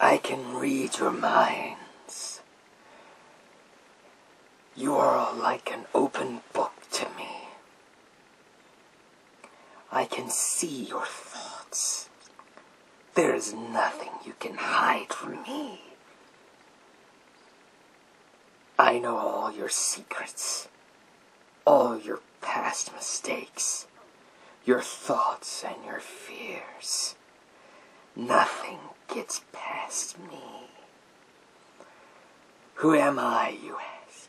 I can read your minds. You are like an open book to me. I can see your thoughts. There is nothing you can hide from me. I know all your secrets, all your past mistakes, your thoughts, and your fears. Nothing gets past me. Who am I, you ask?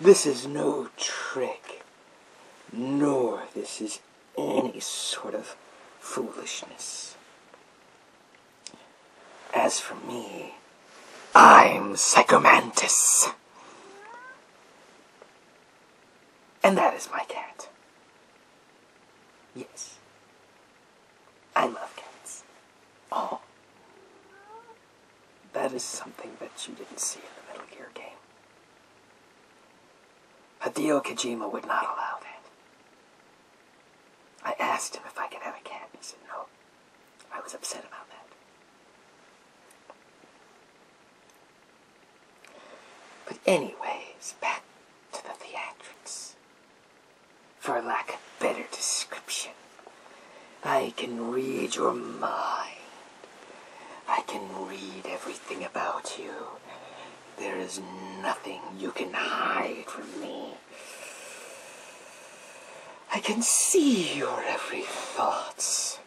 This is no trick, nor this is any sort of foolishness. As for me, I'm Psychomantis. And that is my cat. Yes. I love cats. Oh. That is something that you didn't see in the Metal Gear game. Hideo Kojima would not allow that. I asked him if I could have a cat, and he said no. I was upset about that. But anyways, back to the theatrics. For lack of better description, I can read your mind. I can read everything about you. There is nothing you can hide from me. I can see your every thoughts.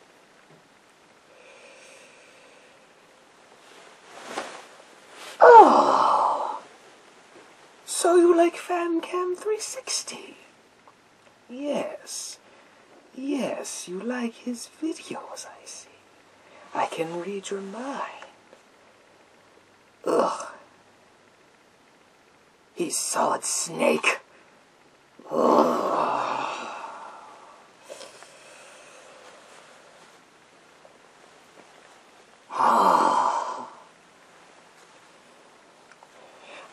Oh, so you like FanCam 360? Yes, yes, you like his videos, I see. I can read your mind. Ugh. He's solid snake. Ugh. Ah.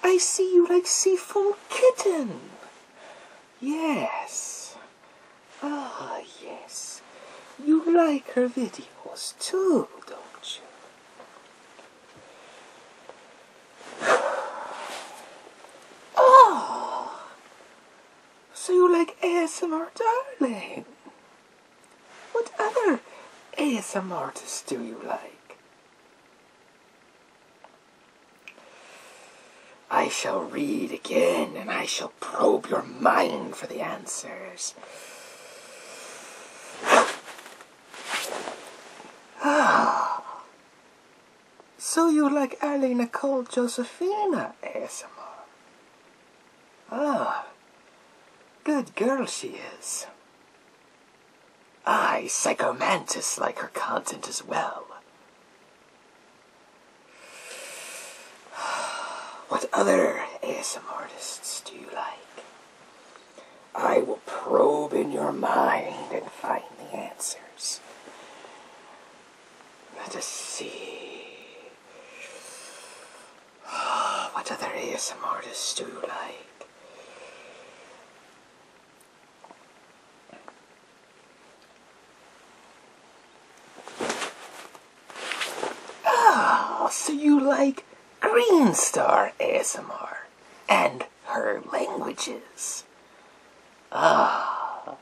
I see you like seafoam kitten. Yes. Ah, oh, yes. You like her videos too, don't you? Oh, so you like ASMR, darling? What other ASMR artists do you like? I shall read again and I shall probe your mind for the answers. Ah, so you like Ali Nicole Josephina ASMR? Ah, good girl she is. I, Psychomantis, like her content as well. What other ASM artists do you like? I will probe in your mind and find the answers. Let us see. what other ASMR artists do you like? Ah, so you like Green Star ASMR and her languages. Ah,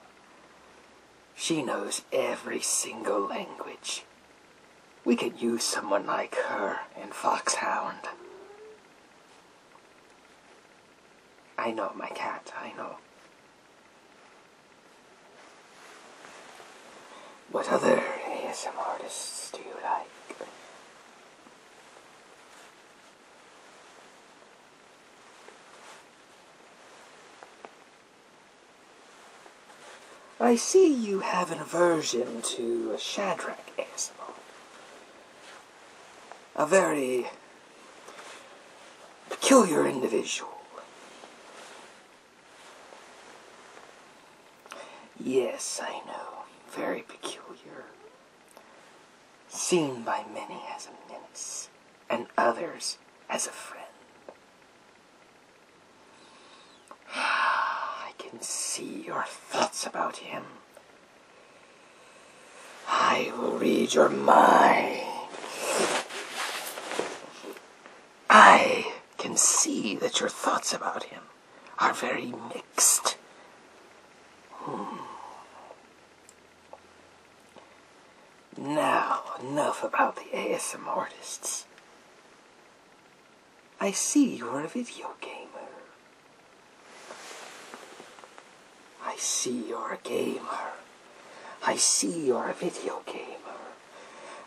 she knows every single language. We could use someone like her in Foxhound. I know, my cat, I know. What other ASM artists do you like? I see you have an aversion to Shadrach ASMR. A very peculiar individual. Yes, I know. Very peculiar. Seen by many as a menace, and others as a friend. Ah, I can see your thoughts about him. I will read your mind. I can see that your thoughts about him are very mixed. Hmm. Now, enough about the ASM artists. I see you are a video gamer. I see you're a gamer. I see you're a video gamer.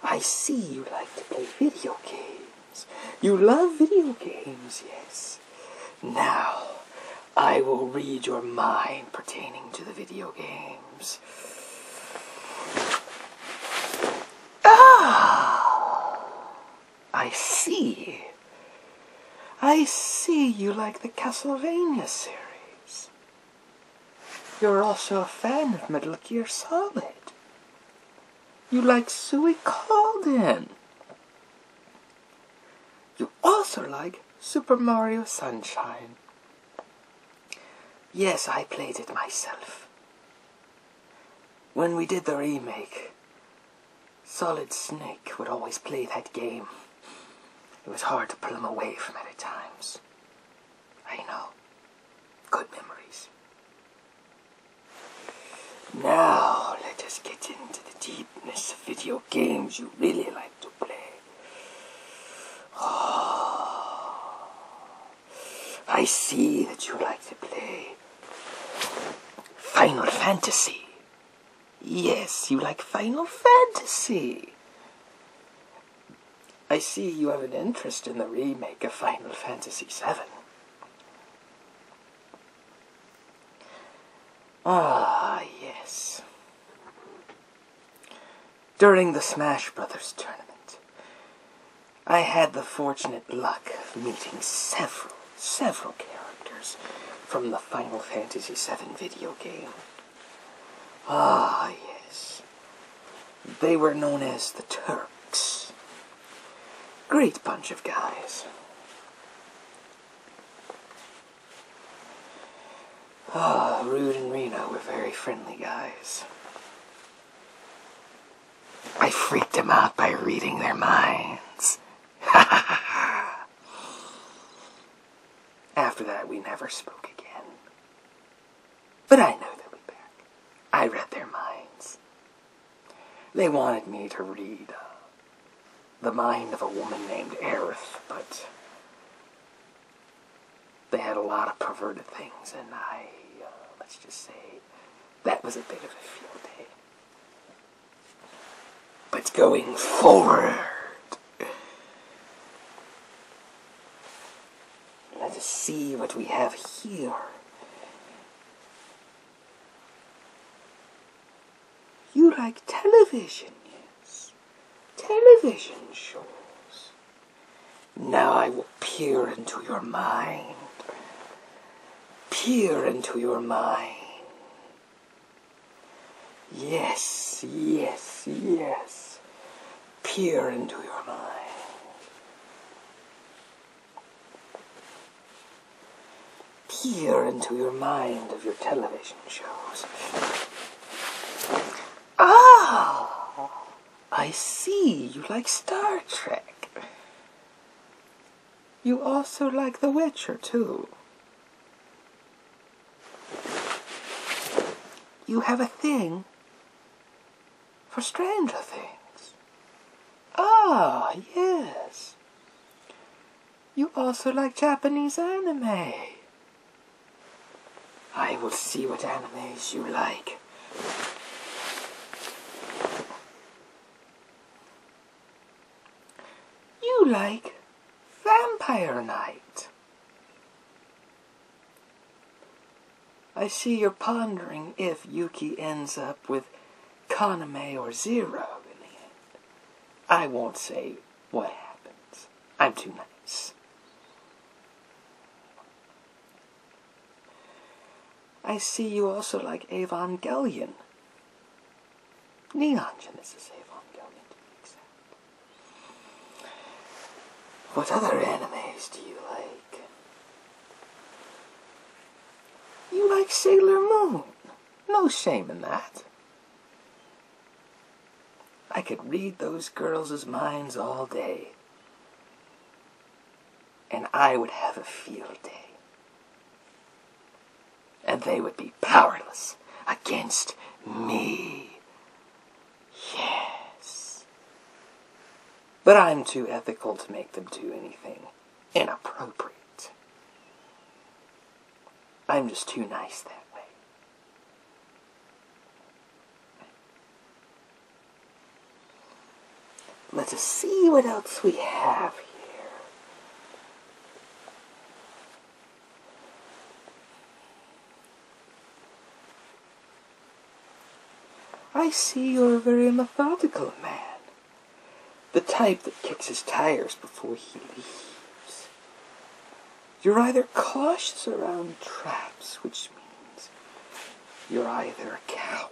I see you like to play video games. You love video games, yes. Now, I will read your mind pertaining to the video games. Ah! I see. I see you like the Castlevania series. You're also a fan of Metal Gear Solid. You like Sue Calden. You also like Super Mario Sunshine. Yes, I played it myself. When we did the remake, Solid Snake would always play that game. It was hard to pull him away from it at times. I know. Good memories. Now, let us get into the deepness of video games you really like to play. Oh, I see that you like to play Final Fantasy. Yes, you like Final Fantasy. I see you have an interest in the remake of Final Fantasy VII. Ah, yes. During the Smash Brothers tournament, I had the fortunate luck of meeting several, several characters from the Final Fantasy VII video game. Ah, yes. They were known as the Turks. Great bunch of guys. Ah, oh, Rude and Rena were very friendly guys. I freaked them out by reading their minds. After that, we never spoke again. But I know they'll be back. I read their minds. They wanted me to read uh, The Mind of a Woman Named Aerith, but they had a lot of perverted things, and I, uh, let's just say, that was a bit of a field day. But going forward, let us see what we have here. You like television, yes? Television shows. Now I will peer into your mind. Peer into your mind. Yes, yes, yes. Peer into your mind. Peer into your mind of your television shows. Ah! I see you like Star Trek. You also like The Witcher, too. You have a thing for stranger things. Ah, yes. You also like Japanese anime. I will see what animes you like. You like Vampire Knight. I see you're pondering if Yuki ends up with Konami or Zero in the end. I won't say what happens. I'm too nice. I see you also like Evangelion. Neon Genesis Evangelion, to be exact. What other animes do you like? You like Sailor Moon. No shame in that. I could read those girls' minds all day. And I would have a field day. And they would be powerless against me. Yes. But I'm too ethical to make them do anything inappropriate. I'm just too nice that way. Let us see what else we have here. I see you're a very methodical man. The type that kicks his tires before he leaves. You're either cautious around traps, which means you're either a coward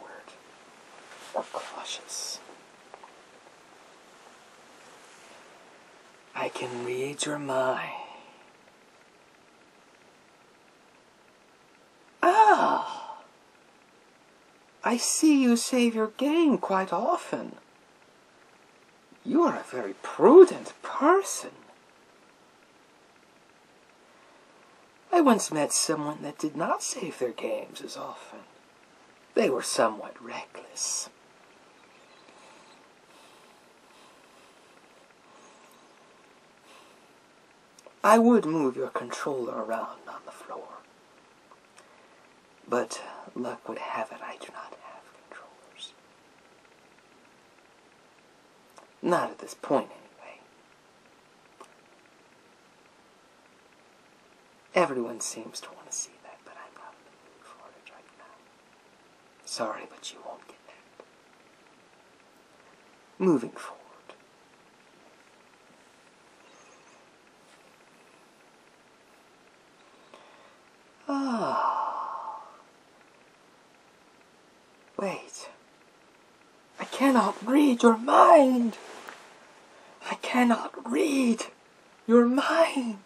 or cautious. I can read your mind. Ah! I see you save your game quite often. You are a very prudent person. I once met someone that did not save their games as often. They were somewhat reckless. I would move your controller around on the floor. But luck would have it, I do not have controllers. Not at this point, anyway. Everyone seems to want to see that, but I'm not in the mood for it right now. Sorry, but you won't get that. Moving forward. Ah. Wait. I cannot read your mind. I cannot read your mind.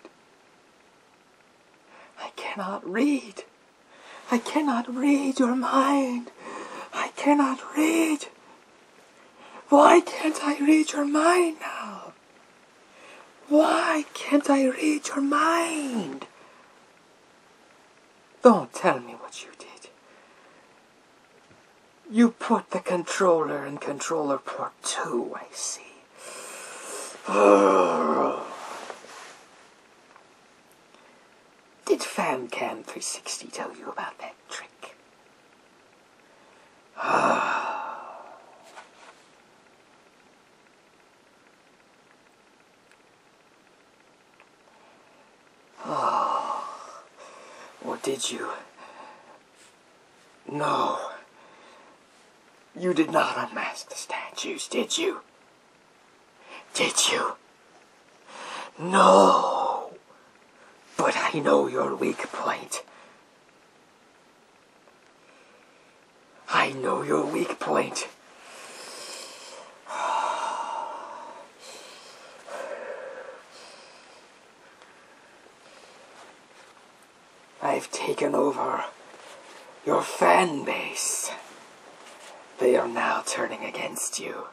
I cannot read. I cannot read your mind. I cannot read. Why can't I read your mind now? Why can't I read your mind? Don't tell me what you did. You put the controller in controller port 2, I see. Did Fan Cam 360 tell you about that trick? oh. Or did you? No. You did not unmask the statues, did you? Did you? No! But I know your weak point. I know your weak point. I've taken over your fan base. They are now turning against you.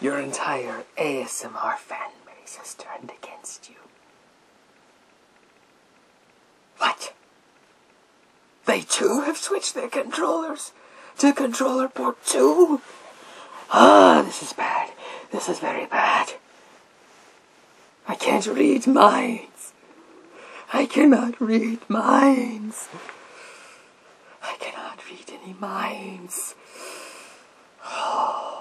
Your entire ASMR fan base has turned against you. What? They too have switched their controllers to controller port 2? Ah, this is bad. This is very bad. I can't read minds. I cannot read minds. I cannot read any minds.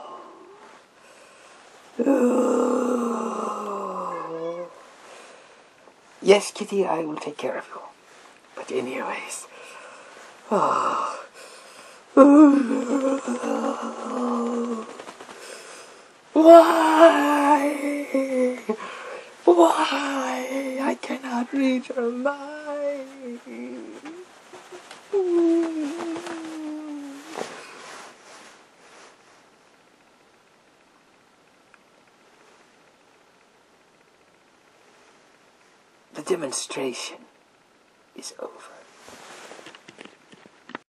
Yes, Kitty, I will take care of you. But anyways. Why? Why? I cannot reach her mind. The demonstration is over.